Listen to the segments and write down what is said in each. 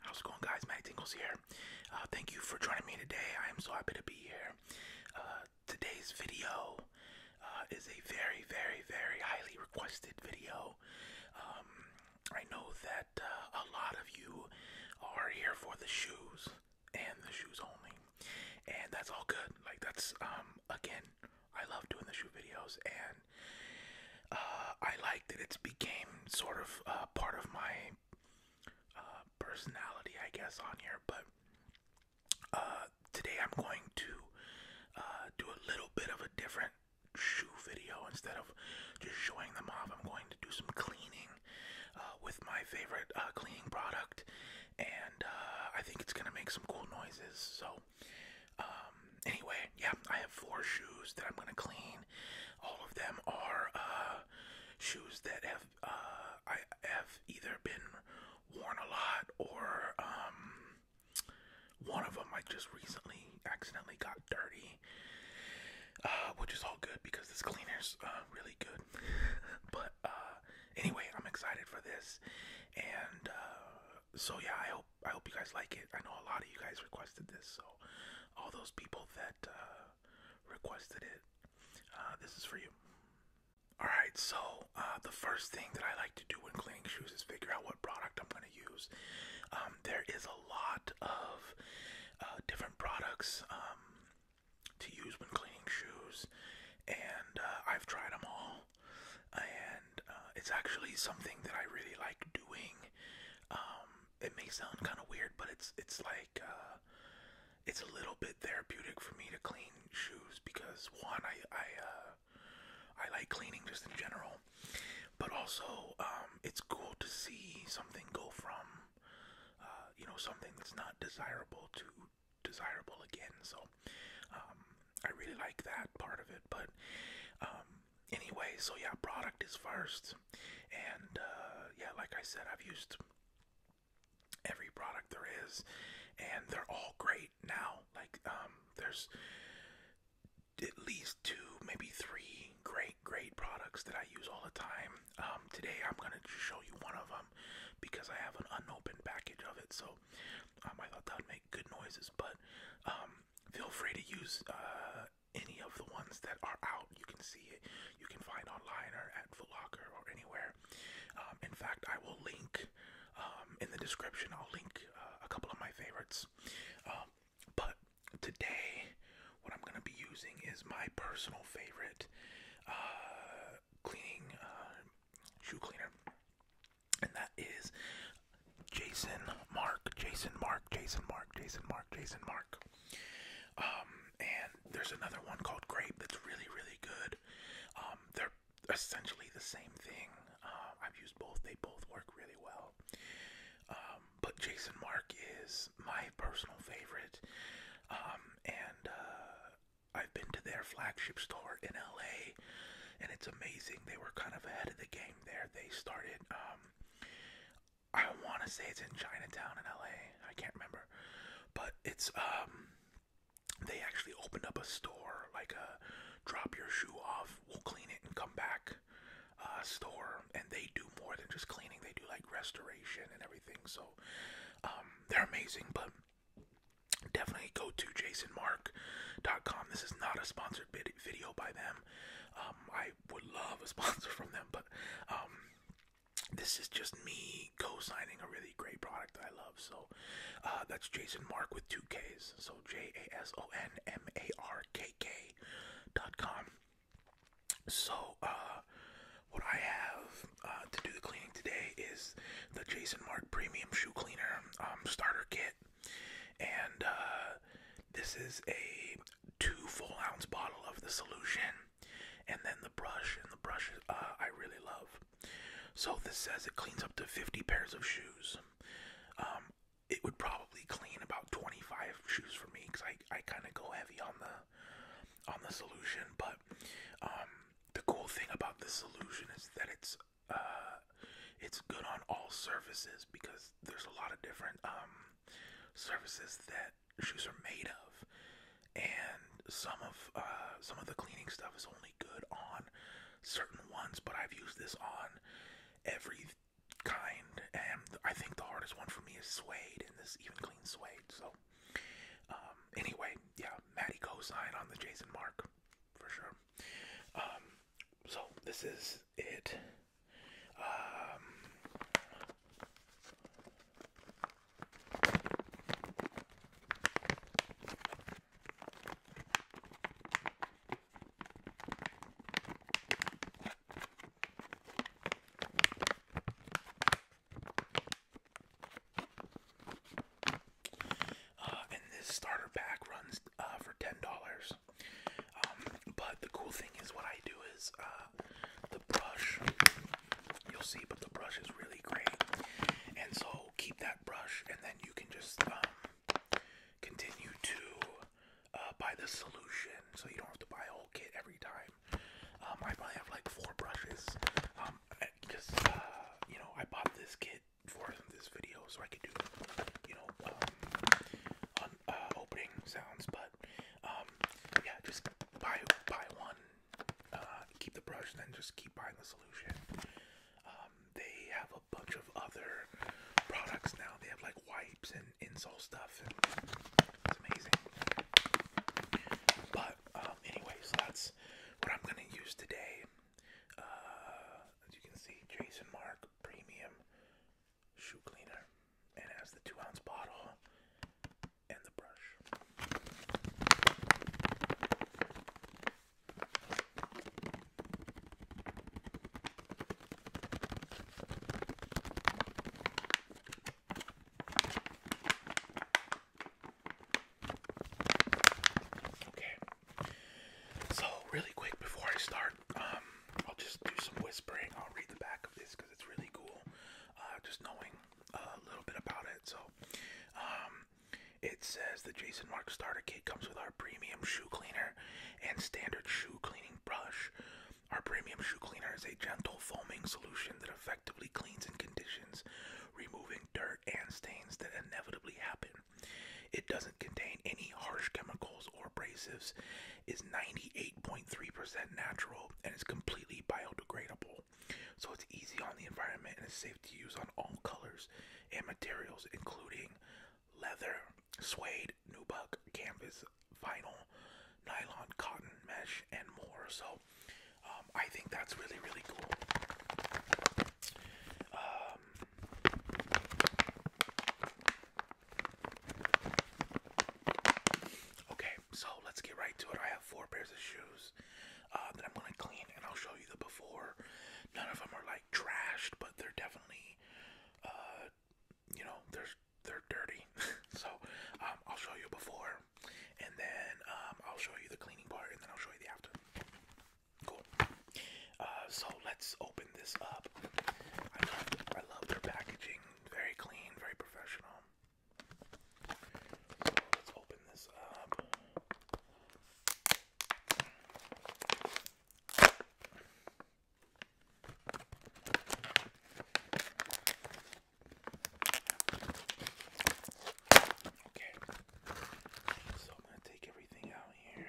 How's it going, guys? Matt Tingles here. Uh, thank you for joining me today. I am so happy to be here. Uh, today's video uh, is a very, very, very highly requested video. Um, I know that a lot of you are here for the shoes and the shoes only. And that's all good. Like that's um again, I love doing the shoe videos and uh I like that it's became sort of uh part of my uh personality I guess on here, but uh today I'm going to uh, do a little bit of a different shoe video instead of just showing them off. I'm going to do some cleaning uh, with my favorite uh, cleaning product, and uh, I think it's gonna make some cool noises. So, um, anyway, yeah, I have four shoes that I'm gonna clean. All of them are shoes that have I have either been worn a lot or um, one of them I just recently accidentally got dirty. which is all good because this cleaner's uh, really good. But uh, anyway, I'm excited for this, and uh, so yeah, I hope I hope you guys like it. I know a lot of you guys requested this, so all those people that uh, requested it, this is for you. All right, so the first thing that I like to do when cleaning shoes is figure out what product I'm going to use. Um, there is a lot of different products. Um, to use when cleaning shoes, and uh, I've tried them all, and uh, it's actually something that I really like doing. Um, it may sound kind of weird, but it's it's like uh, it's a little bit therapeutic for me to clean shoes because one, I I uh, I like cleaning just in general, but also um, it's cool to see something go from uh, you know, something that's not desirable to desirable again. So um, I really like that part of it. But um, anyway, so yeah, product is first, and uh, yeah, like I said, I've used every product there is, and they're all great now. Like um, there's at least two, maybe three great, great products that I use all the time. Um, today I'm gonna show you one of them because I have an unopened package of it. So um, I thought that would make good noises. But um, feel free to use uh, any of the ones that are out. You can see it. You can find online or at Foot or anywhere. in fact, I will link in the description. I'll link uh, a couple of my favorites. but today what I'm gonna be using is my personal favorite uh, cleaning uh, shoe cleaner, and that is Jason Mark, Jason Mark, Jason Mark, Jason Mark, Jason Mark. Um, and there's another one called Grape that's really, really good. Um, they're essentially the same thing. Uh, I've used both; they both work really well. Um, but Jason Mark is my personal favorite. Um, and uh, I've been to their flagship store in LA, and it's amazing. They were kind of ahead of the game there. They started, um, I want to say it's in Chinatown in LA. I can't remember, but it's um, they actually opened up a store like a drop your shoe off, we'll clean it and come back. Uh, store and they do more than just cleaning they do like restoration and everything so um, they're amazing, but definitely go to jasonmark.com. This is not a sponsored video by them. Um, I would love a sponsor from them, but um, this is just me co-signing a really great product that I love. So uh, that's Jason Mark with two Ks. So J A S O N M A R K K dot com. So, uh, what I have uh, to do the cleaning today is the Jason Mark Premium Shoe Cleaner um, Starter Kit, and uh, this is a two full ounce bottle of the solution, and then the brush. And the brush uh, I really love. So this says it cleans up to 50 pairs of shoes. Um, it would probably clean about 25 shoes for me because I, I kind of go heavy on the on the solution, but um, the cool thing about this solution is that it's uh, it's good on all surfaces because there's a lot of different um, surfaces that shoes are made of, and some of uh, some of the cleaning stuff is only good on certain ones. But I've used this on every kind, and I think the hardest one for me is suede, and this even cleans suede. So um, anyway, yeah, Maddie co-sign on the Jason Mark for sure. Um, so this is it. Um, uh, and this starter pack runs uh, for ten dollars. Um, but the cool thing is, what I do is uh, the brush. You'll see, but the brush is really great, and so keep that brush, and then you can just um, continue to uh, buy the solution, so you don't have to buy a whole kit every time. Um, I probably have like four brushes. because um, uh, you know, I bought this kit for this video so I could do, you know, um, uh, opening sounds. But yeah, just buy buy one, uh, keep the brush, then just keep buying the solution. they have a bunch of other products now. They have like wipes and insole stuff stuff. But um, anyways, that's what I'm gonna use today. Uh, as you can see, Jason Mark Premium Shoe Cleaner, and it has the two-ounce bottle and the brush. Okay. So really quick before I start, um, I'll just do some whispering. I'll read the back of this because it's really cool. Uh, just knowing a little bit about it. So, um, it says the Jason Mark Starter Kit comes with our premium shoe cleaner and standard shoe cleaning brush. Our premium shoe cleaner is a gentle foaming solution that effectively cleans and conditions, removing dirt and stains that inevitably happen. It doesn't contain any harsh chemicals or abrasives, is 98.3% natural, and is completely biodegradable. So it's easy on the environment and is safe to use on all colors and materials, including leather, suede, nubuck, canvas, vinyl, nylon, cotton, mesh, and more. So um, I think that's really, really cool. Um, okay, so let's get right to it. I have four pairs of shoes uh, that I'm going to clean, and I'll show you the before. None of them are like trashed, but they're definitely, uh, you know, there's they're dirty. so um, I'll show you before, and then um, I'll show you the cleaning part, and then I'll show you the after. Cool. Uh, so let's open this up. I love, their packaging. Very clean, very professional. So let's open this up. Okay, so I'm gonna take everything out here.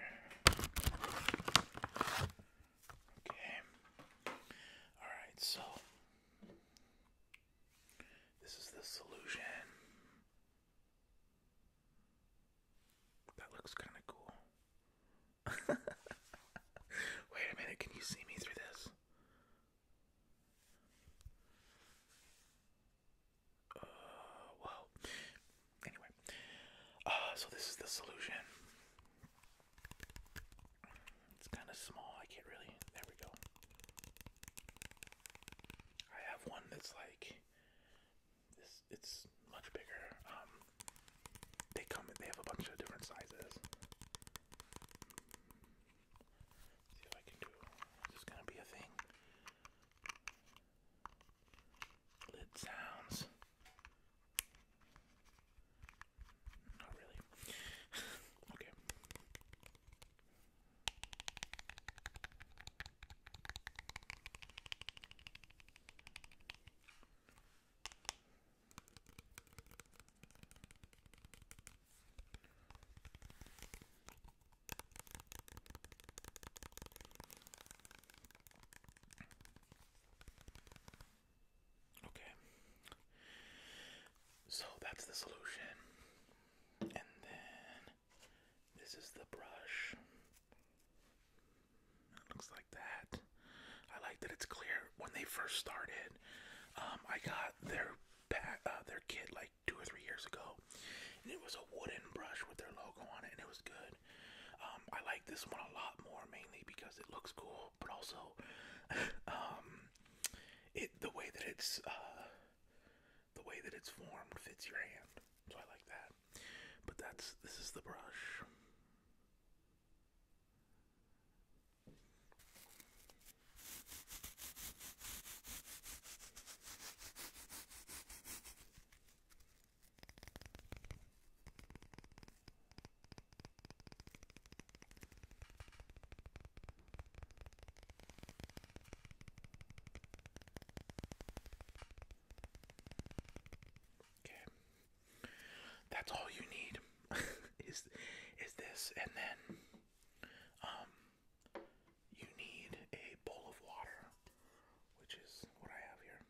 Okay, alright, so this is the solution. That looks kind of cool. Wait a minute, can you see me through this? well, anyway, uh, so this is the solution. It's kind of small. I can't really. There we go. I have one that's like this. It's much bigger. Um, they come. They have a bunch of different sizes. See if I can do. This is gonna be a thing. Lid sounds. Not really. okay. Okay. So that's the solution. And then this is the brush. It looks like that. I like that it's clear. When they first started, um, I got their pack, uh, their kit like two or three years ago, and it was a wooden brush with their logo on it, and it was good. Um, I like this one a lot more, mainly because it looks cool, but also, um, it the way that it's uh, the way that it's formed fits your hand, so I like that. But that's this is the brush. Okay. That's all you need is is this and then um, you need a bowl of water, which is what I have here.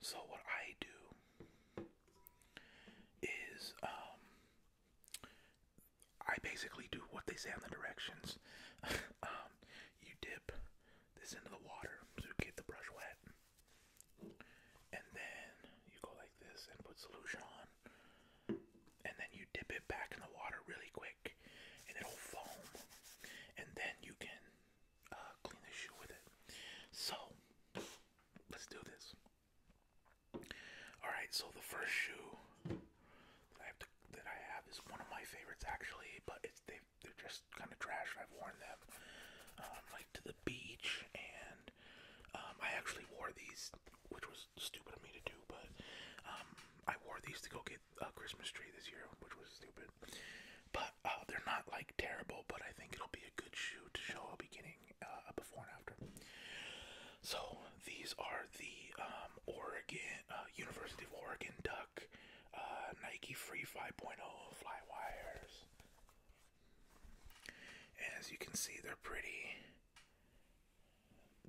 So what I do is um, I basically do what they say on the directions. Um, you dip this into the water to get the brush wet and then you go like this and put solution on, and then you dip it back in the water really quick, and it'll foam, and then you can uh, clean the shoe with it. So let's do this. All right, so the first shoe that I have is one of my favorites actually, but it's they are just kind of trash. I've worn them um, like to the beach and um, I actually wore these, which was stupid of me to do, but um, I wore these to go get a Christmas tree this year, which was stupid. But uh, they're not like terrible, but I think it'll be a good shoe to show a beginning, uh, before and after. So these are the um, Oregon uh, University of Oregon Duck uh, Nike Free 5.0 Flywires as you can see, they're pretty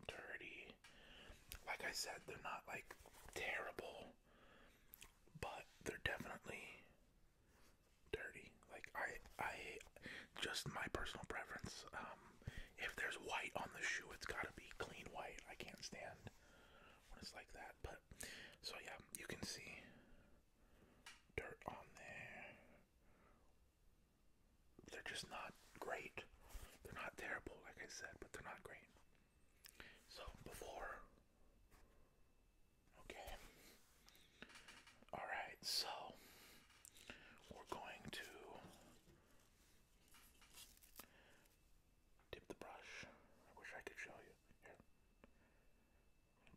dirty. Like I said, they're not like terrible, but they're definitely dirty. Like I, I, just my personal preference. Um, if there's white on the shoe, it's gotta be clean white. I can't stand when it's like that. But so yeah, you can see dirt on there, they're just not great. They're not terrible, like I said, but they're not great. So before, okay, all right. So we're going to dip the brush. I wish I could show you here.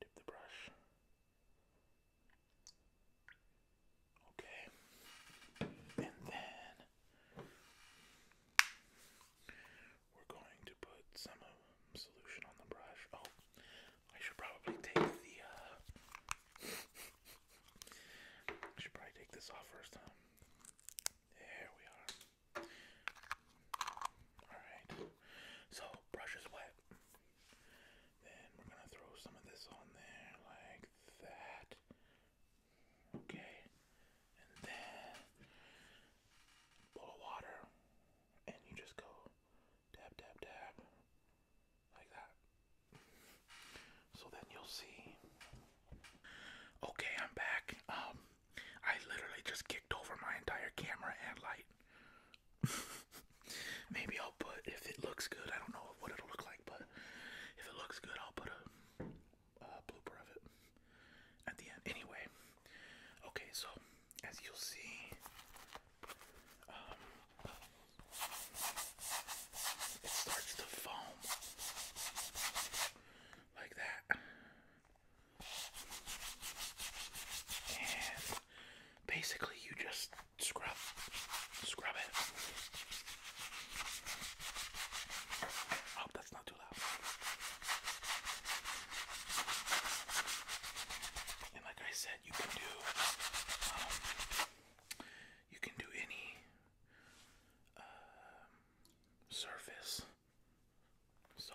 Dip the brush Okay. And then we're going to put some solution on the brush. Oh, I should probably take the uh should probably take this off first There we are. Alright. So brush is wet. Then we're gonna throw some of this on there like that. Okay. And then bowl of water. And you just go dab dab dab like that. So then you'll see. Okay, I'm back. Um I literally just kicked over my entire camera and light. Maybe I'll put if it looks good. I don't know what it'll look like, but if it looks good, I'll put a, blooper of it at the end. Anyway, okay. So as you'll see, um, it starts to foam like that. And basically, you just Scrub. Scrub it. I that's not too loud. And like I said, you can do um, you can do any um, surface. So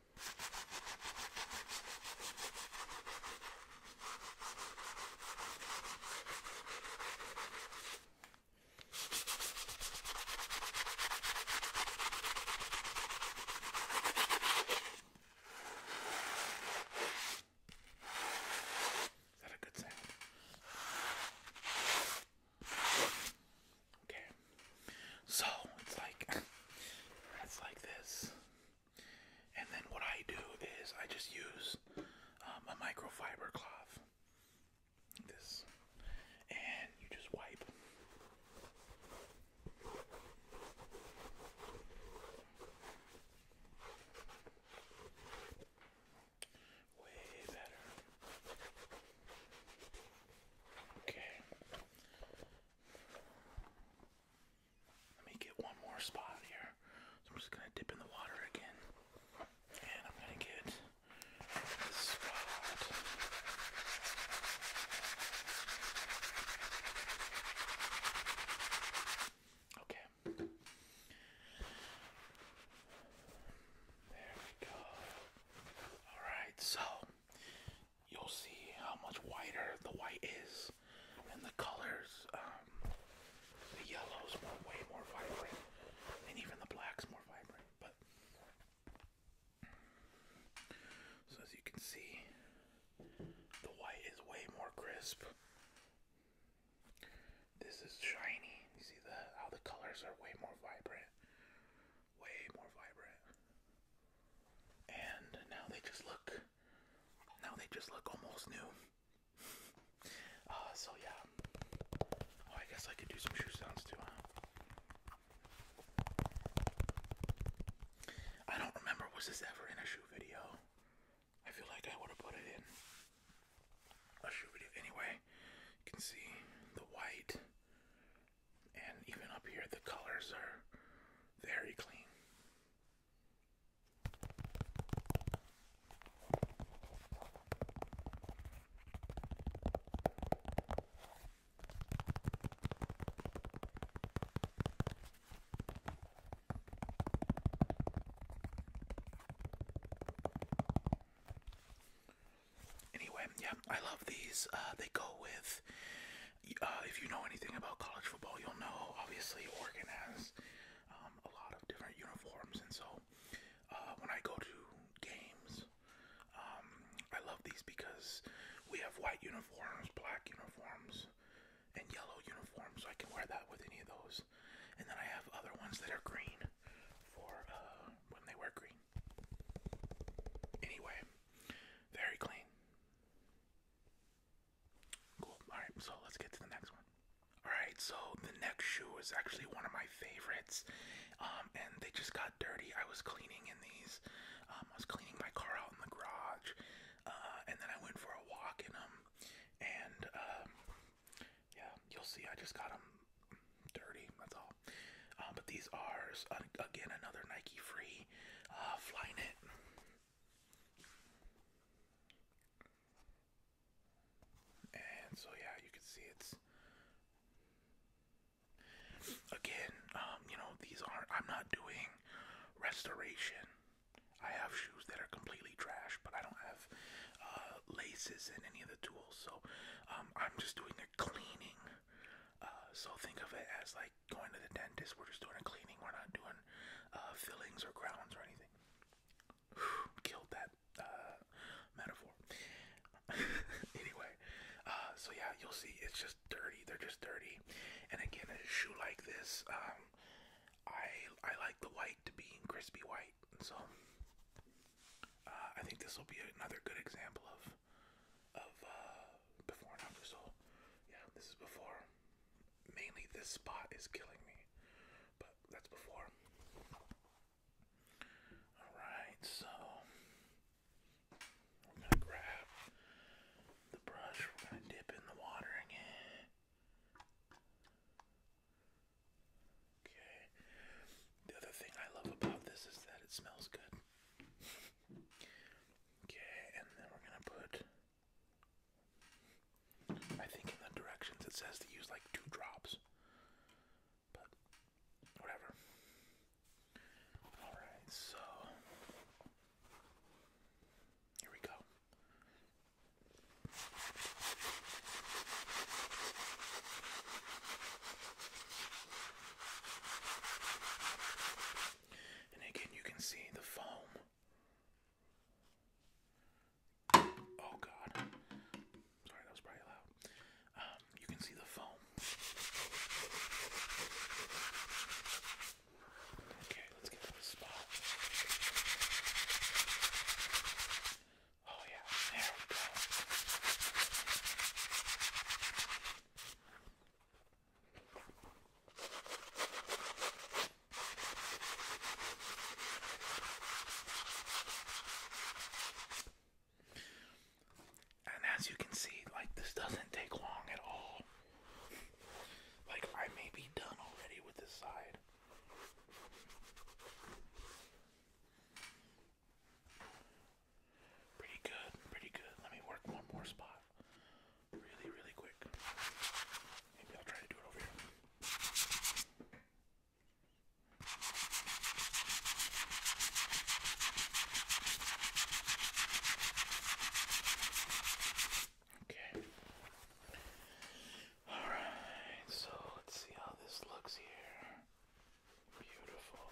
Is that a good sound? Okay. So it's like it's like this. And then what I do is I just use um, a microfiber cloth. this. And you just wipe. Way better. Okay. Let me get one more spot here. I'm just gonna dip in the water again. And I'm gonna get this spot. Okay. There we go. Alright, so you'll see how much whiter the white is, and the colors, um, the yellow's more, way more vibrant, and even the black's more vibrant. But so as you can see, the white is way more crisp. This is shiny. You see the how the colors are way more vibrant, way more vibrant. And now they just look now they just look almost new. Uh, so yeah. Oh, I guess I could do some shoe sounds too, huh? I don't remember, was this ever in a shoe video? I feel like I would have put it in a shoe video. Anyway, you can see the white, and even up here, the colors are very clean. Anyway, yeah, I love these. Uh, they go with uh, if you know anything about college football, you'll know obviously Oregon has um, a lot of different uniforms, and so uh, when I go to games, um, I love these because we have white uniforms, black uniforms, and yellow uniforms. So I can wear that with any of those, and then I have other ones that are green for uh, when they wear green. Anyway, very clean. Cool. All right, so let's get to the next one. All right, so the next shoe is actually one of my favorites, um, and they just got dirty. I was cleaning in these. Um, I was cleaning my car out in the garage, uh, and then I went for a walk in them, and um, yeah, you'll see. I just got them dirty. That's all. but these are again another Nike free uh, Flynet and so yeah, you can see it's again, um, you know, these aren't I'm not doing restoration. I have shoes that are completely trash, but I don't have uh, laces and any of the tools, so um, I'm just doing a cleaning. Uh, so think of it as like going to the dentist. We're just doing a cleaning. We're not doing uh, fillings or crowns or anything. killed that uh, metaphor. anyway, uh, so yeah, you'll see. It's just dirty. They're just dirty. And again, a shoe like this, um, I I like the white to be crispy white. So I think this will be another good example of of before and after. So, yeah, this is before. Mainly, this spot is killing me, but that's before. All right, so we're gonna grab the brush. We're gonna dip in the water Okay. The other thing I love about this is that it smells good. Okay, and then we're gonna put I think in the directions it says to use like two drops. But whatever. Alright, so here we go. And again, you can see the foam. Oh god. Sorry, that was probably loud. Um, you can see the foam. Okay, let's get to the spot. Oh yeah, there we go. And as you can see, like this doesn't take long at all. Like I may be done already with this side. Pretty good, pretty good. Let me work one more spot really, really quick. Maybe I'll try to do it over here. Okay. Alright, so let's see how this looks here. Beautiful.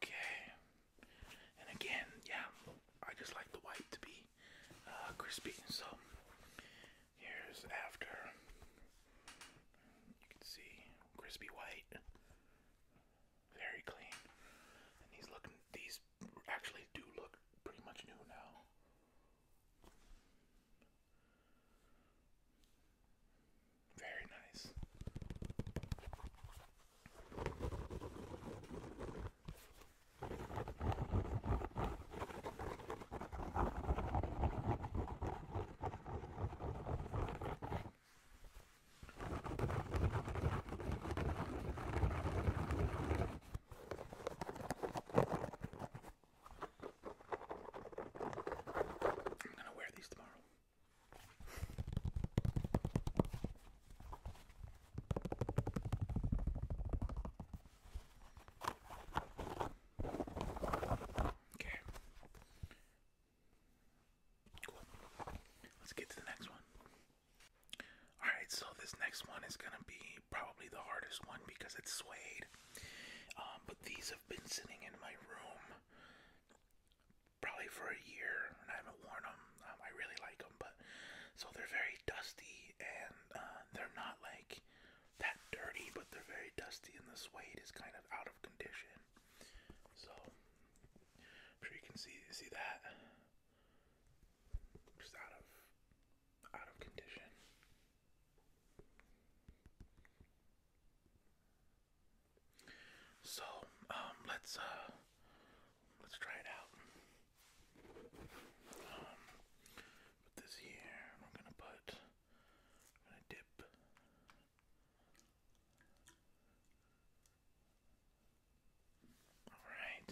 Okay. And again, yeah, I just like the white to be uh, crispy. So here's after. You can see crispy white, very clean. And these looking, these actually do look pretty much new now. Very nice. I'm going to wear these tomorrow. Okay. Cool. Let's get to the next one. Alright, so this next one is gonna be probably the hardest one because it's suede. Um, but these have been sitting in my room probably for a year and I haven't worn them. Um, I really like them, but so they're very dusty and uh, they're not like that dirty, but they're very dusty, and the suede is kind of out of condition. So I'm sure you can see see that just out of out of condition. So um, let's uh Let's try it out. Um, put this here, and we're gonna put, I'm gonna dip. Alright,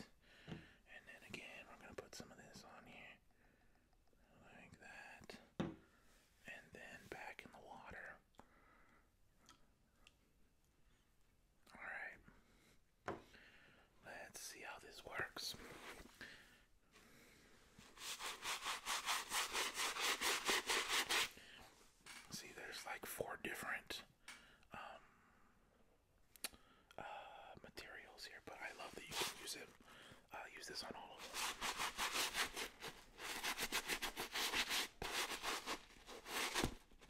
and then again, we're gonna put some of this on here, like that, and then back in the water. Alright. Let's see how this works. See, there's like four different um, uh, materials here, but I love that you can use it. use this on all of them.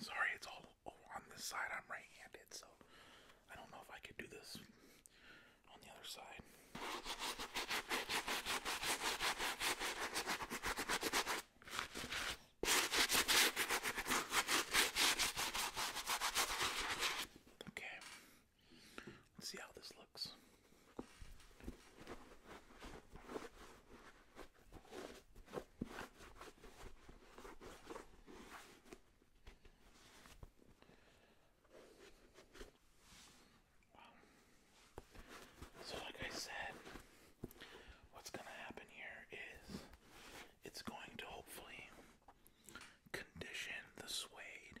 Sorry, it's all on this side. I'm right handed, so I don't know if I could do this on the other side. Okay, Let's see how this looks. So, like I said, what's going to happen here is it's going to hopefully condition the suede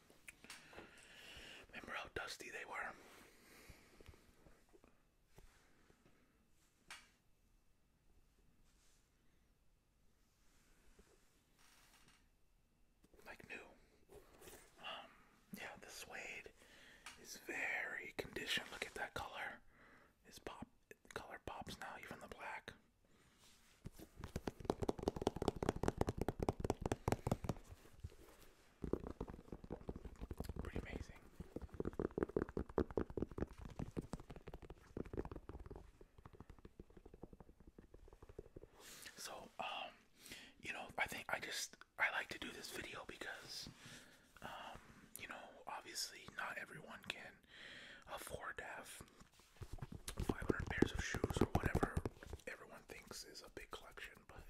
Remember how dusty they were? Like new. Um, yeah, the suede is very conditioned. Look at that color. Is pop color pops now, even the black. Pretty amazing. So, um, you know, I think I just I like to do this video because, um, you know, obviously not everyone can afford to have 500 pairs of shoes or whatever everyone thinks is a big collection, but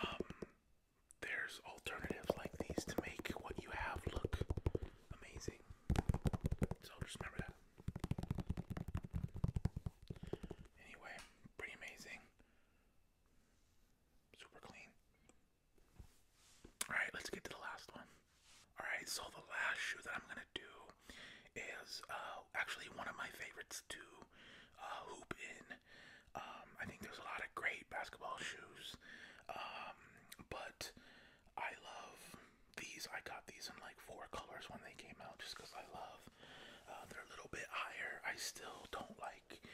um, there's alternatives like these to make what you have look amazing. So just remember that. Anyway, pretty amazing. Super clean. Alright, let's get to the last one. Alright, so the last shoe that I'm going to do is uh, actually one of my favorites to uh, hoop in. Um, I think there's a lot of great basketball shoes, um, but I love these. I got these in like four colors when they came out just because I love. Uh, they're a little bit higher. I still don't like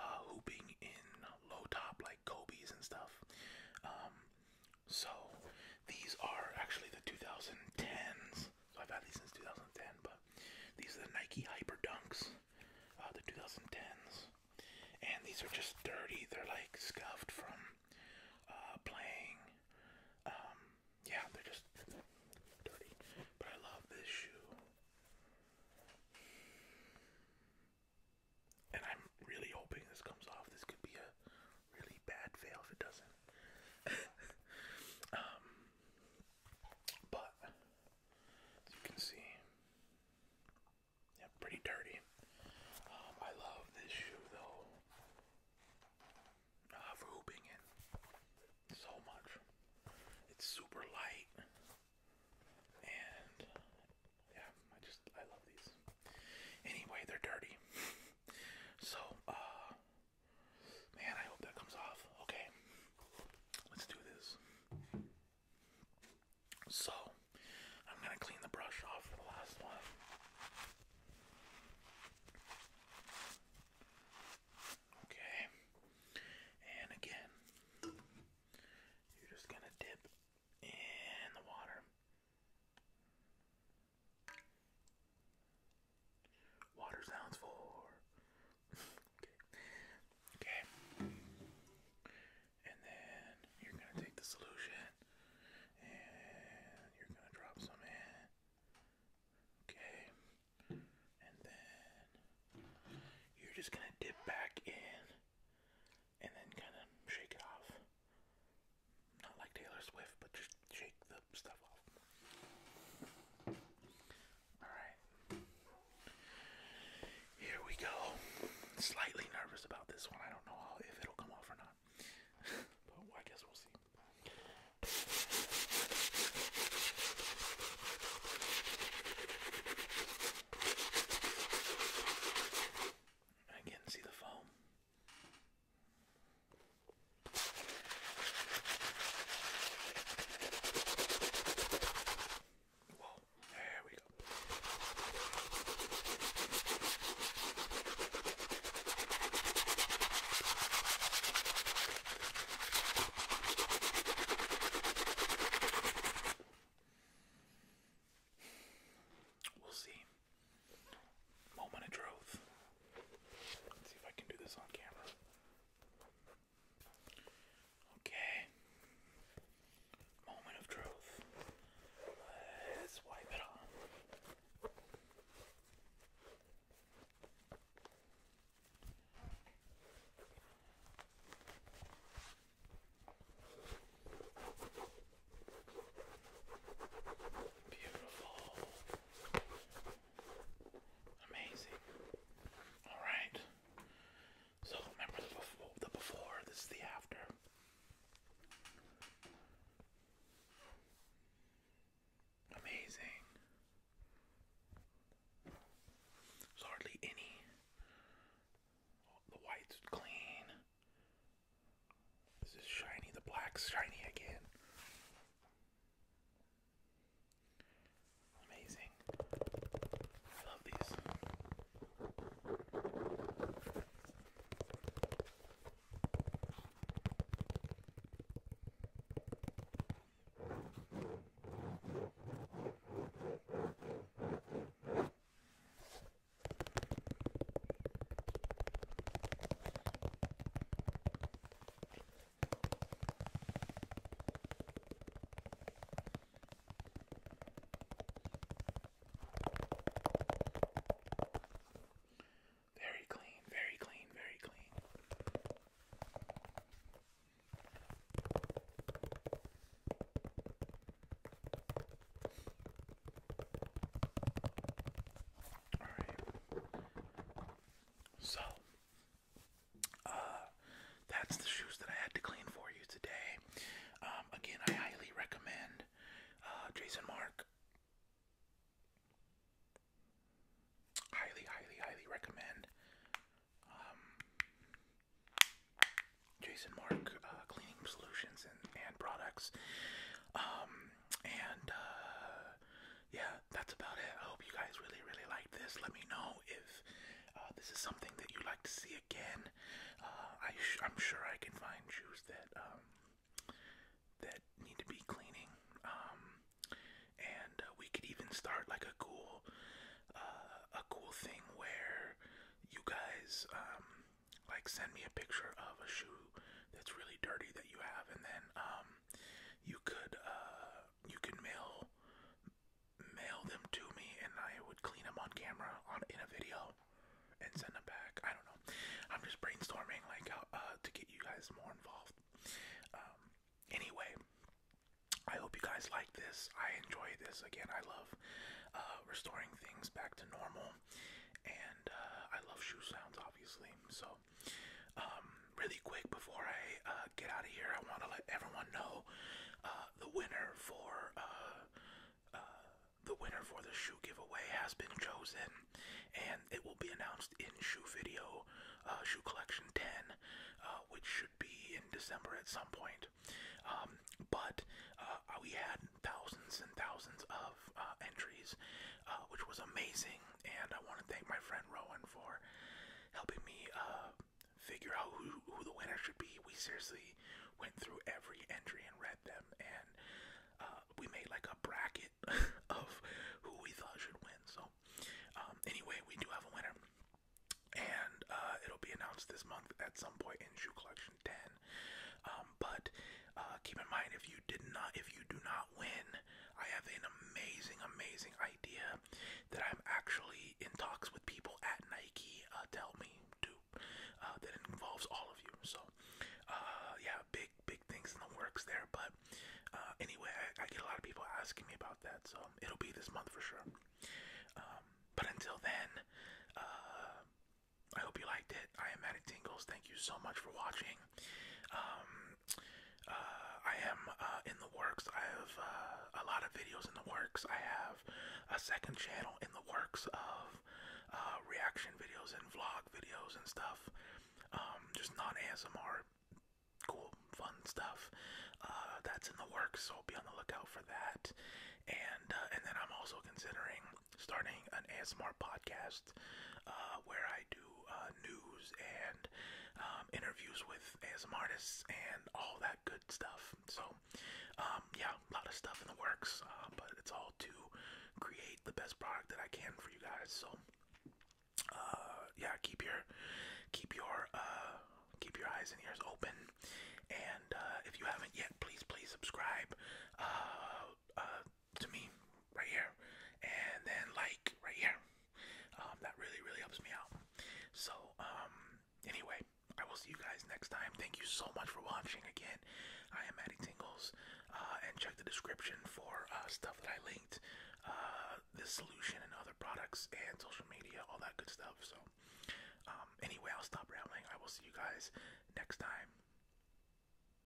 uh, hooping in low top like Kobe's and stuff. Um, so these are actually the 2010s. So I've had these since 2010, but these are the Nike Hyper Dunks, uh, the 2010s, and these are just dirty. They're like scuffed from uh, playing. Um, yeah, they're just dirty. But I love this shoe, and I'm really hoping this comes off. This could be a really bad fail if it doesn't. Um, but you can see, yeah, pretty dirty. Um, I love this shoe though. Uh, for hooping in so much. It's super light, and yeah, I just I love these. Anyway, they're dirty. So, uh, man, I hope that comes off. Okay, let's do this. So, I'm gonna clean the brush off for the last one. Okay, and again, you're just gonna dip in the water. Water sounds for. okay. Okay. And then you're going to take the solution and you're going to drop some in. Okay. And then you're just going to dip back in and then kind of shake it off not like Taylor Swift, but just shake the stuff off. Alright. Here we go. Slightly nervous about this one. I don't know if it'll come off or not. but I guess we'll see. I can see the foam. Whoa, there we go. We'll see. Moment of truth. Let's see if I can do this on camera. Okay. Moment of truth. Let's wipe it off. Beautiful. Amazing. Alright. So remember the before, this is the after. Amazing. There's hardly any. The white's clean. This is shiny. The black shiny again. Amazing. love these. Very clean, very clean, very clean. Alright. So, uh, that's the shoes that I had to clean for you today. Um, again, I highly recommend uh, Jason Mark. Highly, highly, highly recommend um, Jason Mark uh, cleaning solutions and, and products. Um, and uh, yeah, that's about it. I hope you guys really, really liked this. Let me know if uh, this is something that you'd like to see again. Uh, I am sure I can find shoes that um, that need to be cleaning. Um, and we could even start like a cool, a cool thing where you guys um, like send me a picture of a shoe that's really dirty that you have, and then um, you could uh, you can mail mail them to me, and I would clean them on camera on in a video and send them back. I don't know. I'm just brainstorming like how uh, to get you guys more involved. Um, anyway. I hope you guys like this. I enjoy this. Again, I love uh, restoring things back to normal and uh, I love shoe sounds, obviously. So, um, really quick before I uh, get out of here, I want to let everyone know uh, the winner for the winner for the shoe giveaway has been chosen, and it will be announced in shoe video, shoe collection 10, which should be in December at some point. Um, but we had thousands and thousands of entries uh, which was amazing. And I want to thank my friend Rowan for helping me uh, figure out who, the winner should be. We seriously went through every entry and read them, and uh, we made like a bracket of who we thought should win. So, um, anyway, we do have a winner. And it'll be announced this month at some point in shoe collection 10. Um, but keep in mind, if you did not, if you do not not I have an amazing, amazing idea that I'm actually in talks with people at Nike uh, to help me do uh, that involves all of you. So, uh, yeah, big, big things in the works there. But uh, anyway, I, get a lot of people asking me about that, so it'll be this month for sure. Um, but until then, uh, I hope you liked it. I am Matt Tingles. Thank you so much for watching. Um, uh, I am uh, in the works. I have uh, a lot of videos in the works. I have a second channel in the works of reaction videos and vlog videos and stuff. Um, just non ASMR, cool, fun stuff. that's in the works, so be on the lookout for that. And and then I'm also considering starting an ASMR podcast uh, where I do uh, news and um, interviews with ASMR artists and all that good stuff. So, um, yeah, a lot of stuff in the works, uh, but it's all to create the best product that I can for you guys. So, yeah, keep your keep your keep your eyes and ears open, and if you haven't yet, please please subscribe to me right here and then like right here um, that really really helps me out so um anyway i will see you guys next time thank you so much for watching again i am maddie tingles uh, and check the description for uh, stuff that i linked uh, this solution and other products and social media all that good stuff so um, anyway i'll stop rambling i will see you guys next time